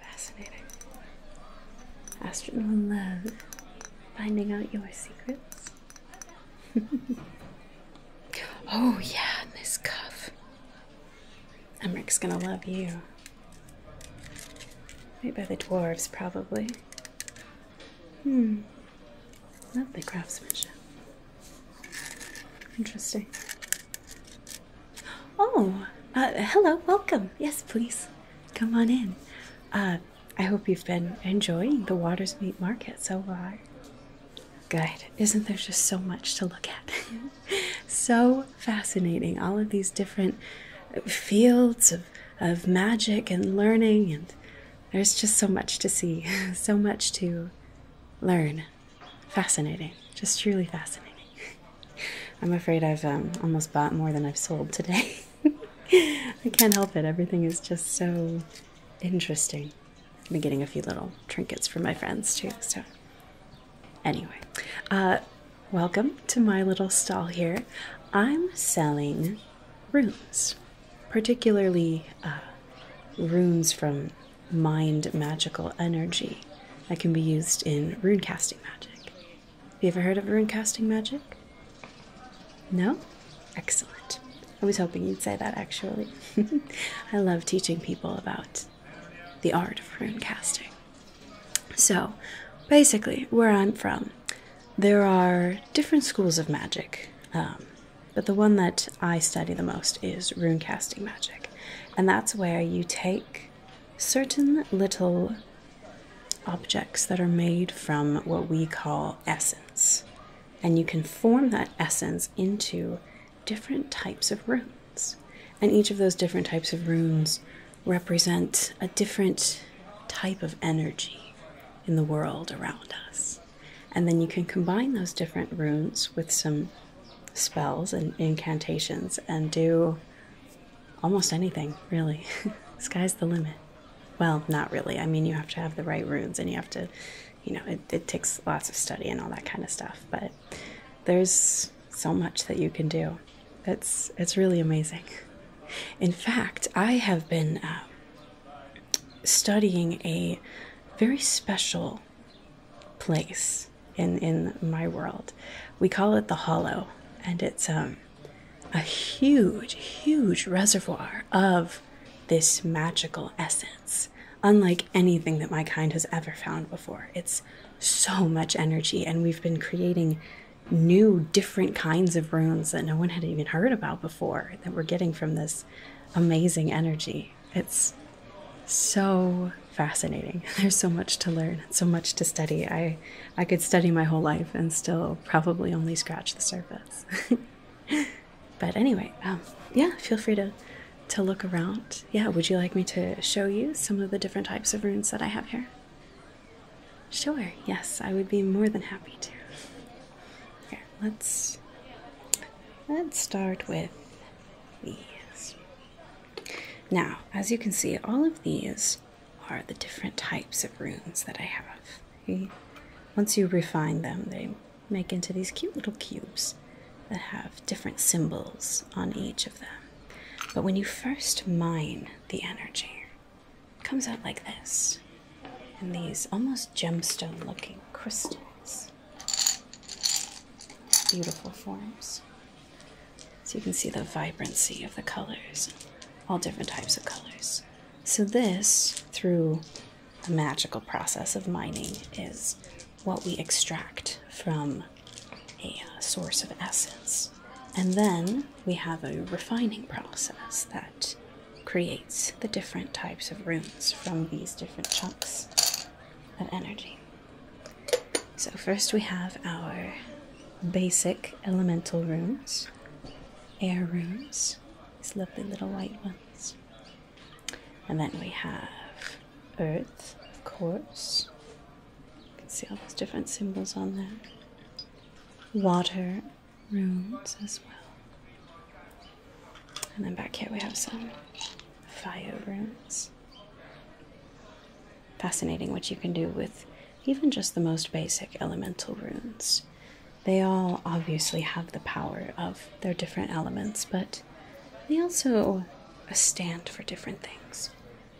Fascinating. Astronaut love. Finding out your secrets. oh yeah, this cuff. Emrick's gonna love you. Right by the dwarves, probably. Hmm. Lovely craftsmanship. Interesting. Oh, uh, hello, welcome. Yes, please come on in. Uh, I hope you've been enjoying the Watersmeet Meat Market so far. Good. Isn't there just so much to look at? so fascinating. All of these different fields of, of magic and learning, and there's just so much to see, so much to learn. Fascinating. Just truly fascinating. I'm afraid I've um, almost bought more than I've sold today. I can't help it. Everything is just so interesting. I've been getting a few little trinkets for my friends too. So, anyway, uh, welcome to my little stall here. I'm selling runes, particularly uh, runes from mind magical energy that can be used in rune casting magic. Have you ever heard of rune casting magic? No? Excellent. I was hoping you'd say that actually. I love teaching people about the art of rune casting. So, basically, where I'm from, there are different schools of magic, um, but the one that I study the most is rune casting magic. And that's where you take certain little objects that are made from what we call essence. And you can form that essence into different types of runes. And each of those different types of runes represent a different type of energy in the world around us. And then you can combine those different runes with some spells and incantations and do almost anything, really. Sky's the limit. Well, not really. I mean, you have to have the right runes and you have to, you know, it, takes lots of study and all that kind of stuff, but there's so much that you can do. It's, it's really amazing. In fact, I have been uh, studying a very special place in in my world. We call it the Hollow, and it's um, a huge, huge reservoir of this magical essence, unlike anything that my kind has ever found before. It's so much energy, and we've been creating new, different kinds of runes that no one had even heard about before that we're getting from this amazing energy. It's so fascinating. There's so much to learn, so much to study. I I could study my whole life and still probably only scratch the surface. but anyway, um, yeah, feel free to to look around. Yeah, would you like me to show you some of the different types of runes that I have here? Sure. Yes, I would be more than happy to. Here, let's let's start with these. Now, as you can see, all of these are the different types of runes that I have. Once you refine them, they make into these cute little cubes that have different symbols on each of them. But when you first mine the energy, it comes out like this in these almost gemstone looking crystals. Beautiful forms. So you can see the vibrancy of the colors, all different types of colors. So, this, through a magical process of mining, is what we extract from a uh, source of essence. And then we have a refining process that creates the different types of runes from these different chunks of energy. So, first we have our basic elemental rooms, air rooms, these lovely little white ones. And then we have earth, of course. You can see all those different symbols on there. Water rooms as well. And then back here we have some fire rooms fascinating what you can do with even just the most basic elemental runes. They all obviously have the power of their different elements, but they also stand for different things.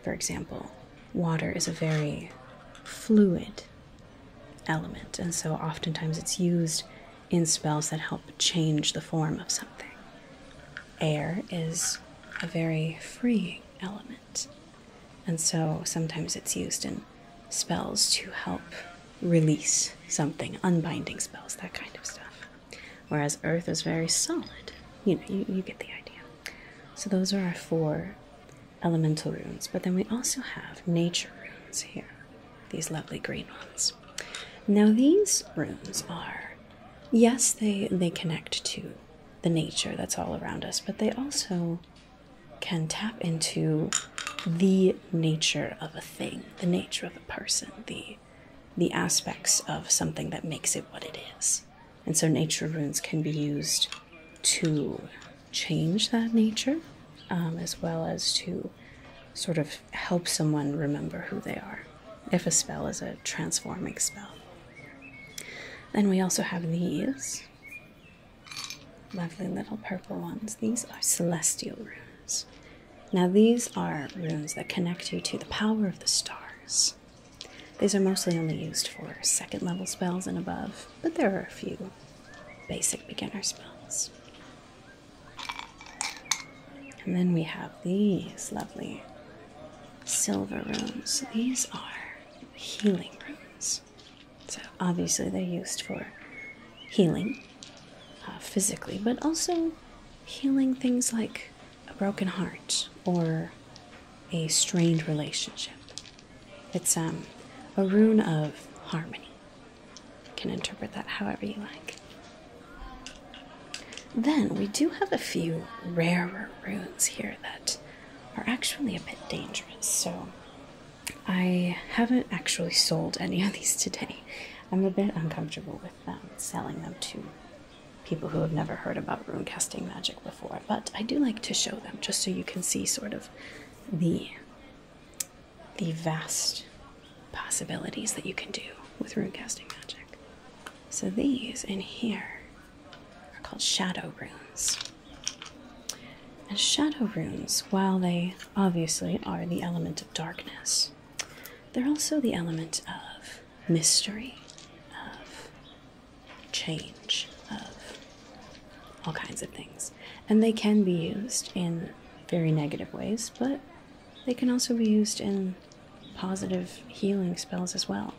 For example, water is a very fluid element, and so oftentimes it's used in spells that help change the form of something air is a very free element, and so sometimes it's used in spells to help release something, unbinding spells, that kind of stuff. Whereas earth is very solid. You know, you get the idea. So those are our four elemental runes, but then we also have nature runes here, these lovely green ones. Now, these runes are yes, they they connect to the nature that's all around us, but they also can tap into the nature of a thing, the nature of a person, the the aspects of something that makes it what it is. And so nature runes can be used to change that nature um, as well as to sort of help someone remember who they are if a spell is a transforming spell. Then we also have these lovely little purple ones. These are celestial runes. Now, these are runes that connect you to the power of the stars. These are mostly only used for second level spells and above, but there are a few basic beginner spells. And then we have these lovely silver runes. These are healing runes. So obviously they're used for healing uh, physically, but also healing things like a broken heart or a strained relationship. It's um, a rune of harmony. You can interpret that however you like. Then we do have a few rarer runes here that are actually a bit dangerous, so I haven't actually sold any of these today. I'm a bit uncomfortable with them selling them to people who have never heard about rune casting magic before, but I do like to show them just so you can see sort of the the vast possibilities that you can do with rune casting magic. So these in here are called shadow rooms, And shadow rooms, while they obviously are the element of darkness, they're also the element of mystery, of change, of all kinds of things. And they can be used in very negative ways, but they can also be used in positive healing spells as well.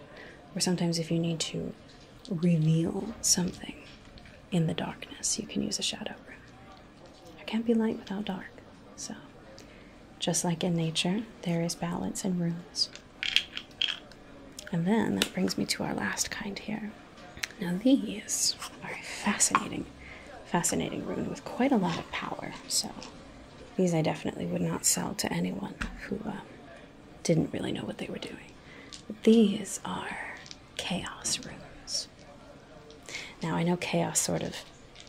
Or sometimes, if you need to reveal something in the darkness, you can use a shadow room. There can't be light without dark. So, just like in nature, there is balance in runes. And then that brings me to our last kind here. Now, these are a fascinating, fascinating rune with quite a lot of power. So, these I definitely would not sell to anyone who um, didn't really know what they were doing. these are chaos runes. Now, I know chaos sort of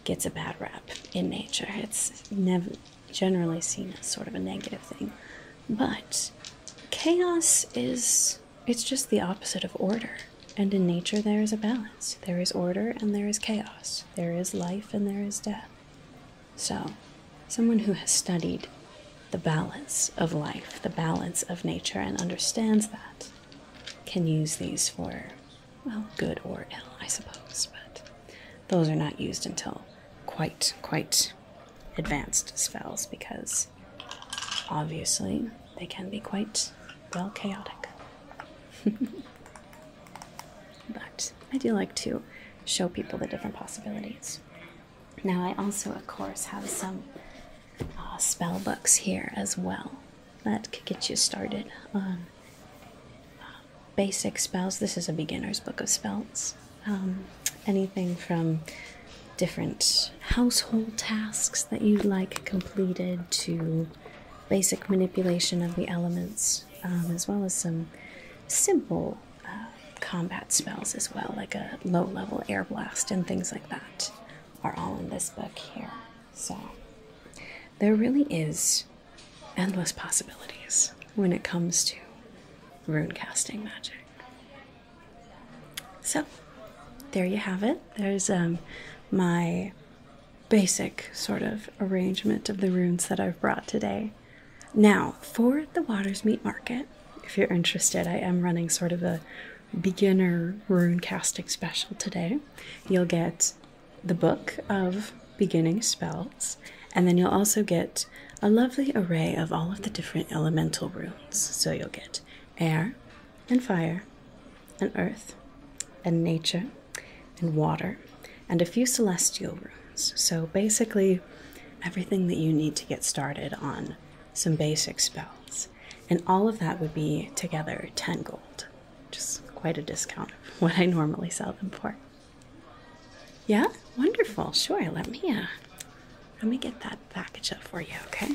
gets a bad rap in nature. It's never generally seen as sort of a negative thing. But chaos is it's just the opposite of order, and in nature there is a balance. There is order and there is chaos. There is life and there is death. So, someone who has studied the balance of life, the balance of nature, and understands that can use these for, well, good or ill, I suppose, but those are not used until quite, quite advanced spells because obviously they can be quite well chaotic. But I do like to show people the different possibilities. Now, I also, of course, have some uh, spell books here as well that could get you started on uh, basic spells. This is a beginner's book of spells. Um, anything from different household tasks that you'd like completed to basic manipulation of the elements, um, as well as some simple uh, combat spells as well, like a low-level air blast and things like that, are all in this book here. So there really is endless possibilities when it comes to rune casting magic. So there you have it. There's um, my basic sort of arrangement of the runes that I've brought today. Now, for the Waters Meat Market, if you're interested, I am running sort of a beginner rune casting special today. You'll get the book of beginning spells, and then you'll also get a lovely array of all of the different elemental runes. So you'll get air, and fire, and earth, and nature, and water, and a few celestial runes. So, basically, everything that you need to get started on some basic spells. And all of that would be together 10 gold. Just quite a discount of what I normally sell them for. Yeah, wonderful. Sure, let me uh, let me get that package up for you, okay?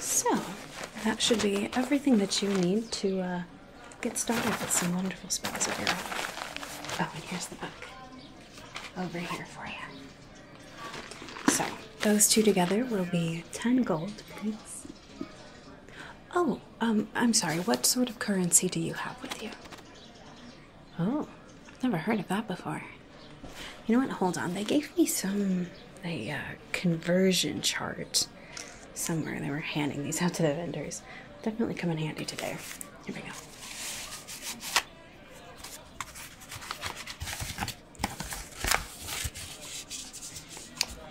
So, that should be everything that you need to uh, get started with some wonderful spells of your Oh, and here's the book over here for you. So, those two together will be 10 gold, please. Oh, um, I'm sorry, what sort of currency do you have with you? Oh, I've never heard of that before. You know what? Hold on. They gave me some a uh, conversion chart somewhere. They were handing these out to the vendors. Definitely come in handy today. Here we go.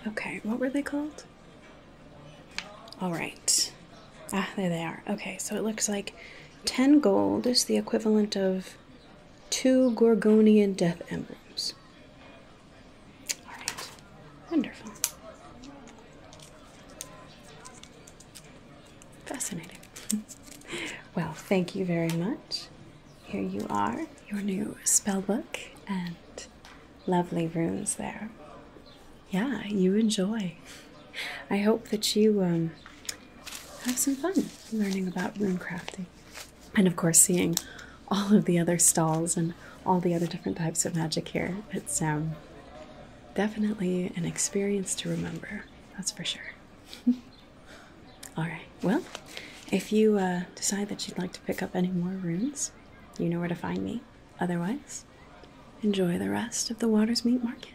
Okay, what were they called? All right. Ah, there they are. Okay, so it looks like 10 gold is the equivalent of two Gorgonian death emblems. Alright, wonderful. Fascinating. well, thank you very much. Here you are, your new spell book, and lovely runes there. Yeah, you enjoy. I hope that you um, have some fun learning about crafting, And of course, seeing all of the other stalls and all the other different types of magic here. It's um, definitely an experience to remember, that's for sure. all right, well, if you uh, decide that you'd like to pick up any more runes, you know where to find me. Otherwise, enjoy the rest of the Water'smeet Market.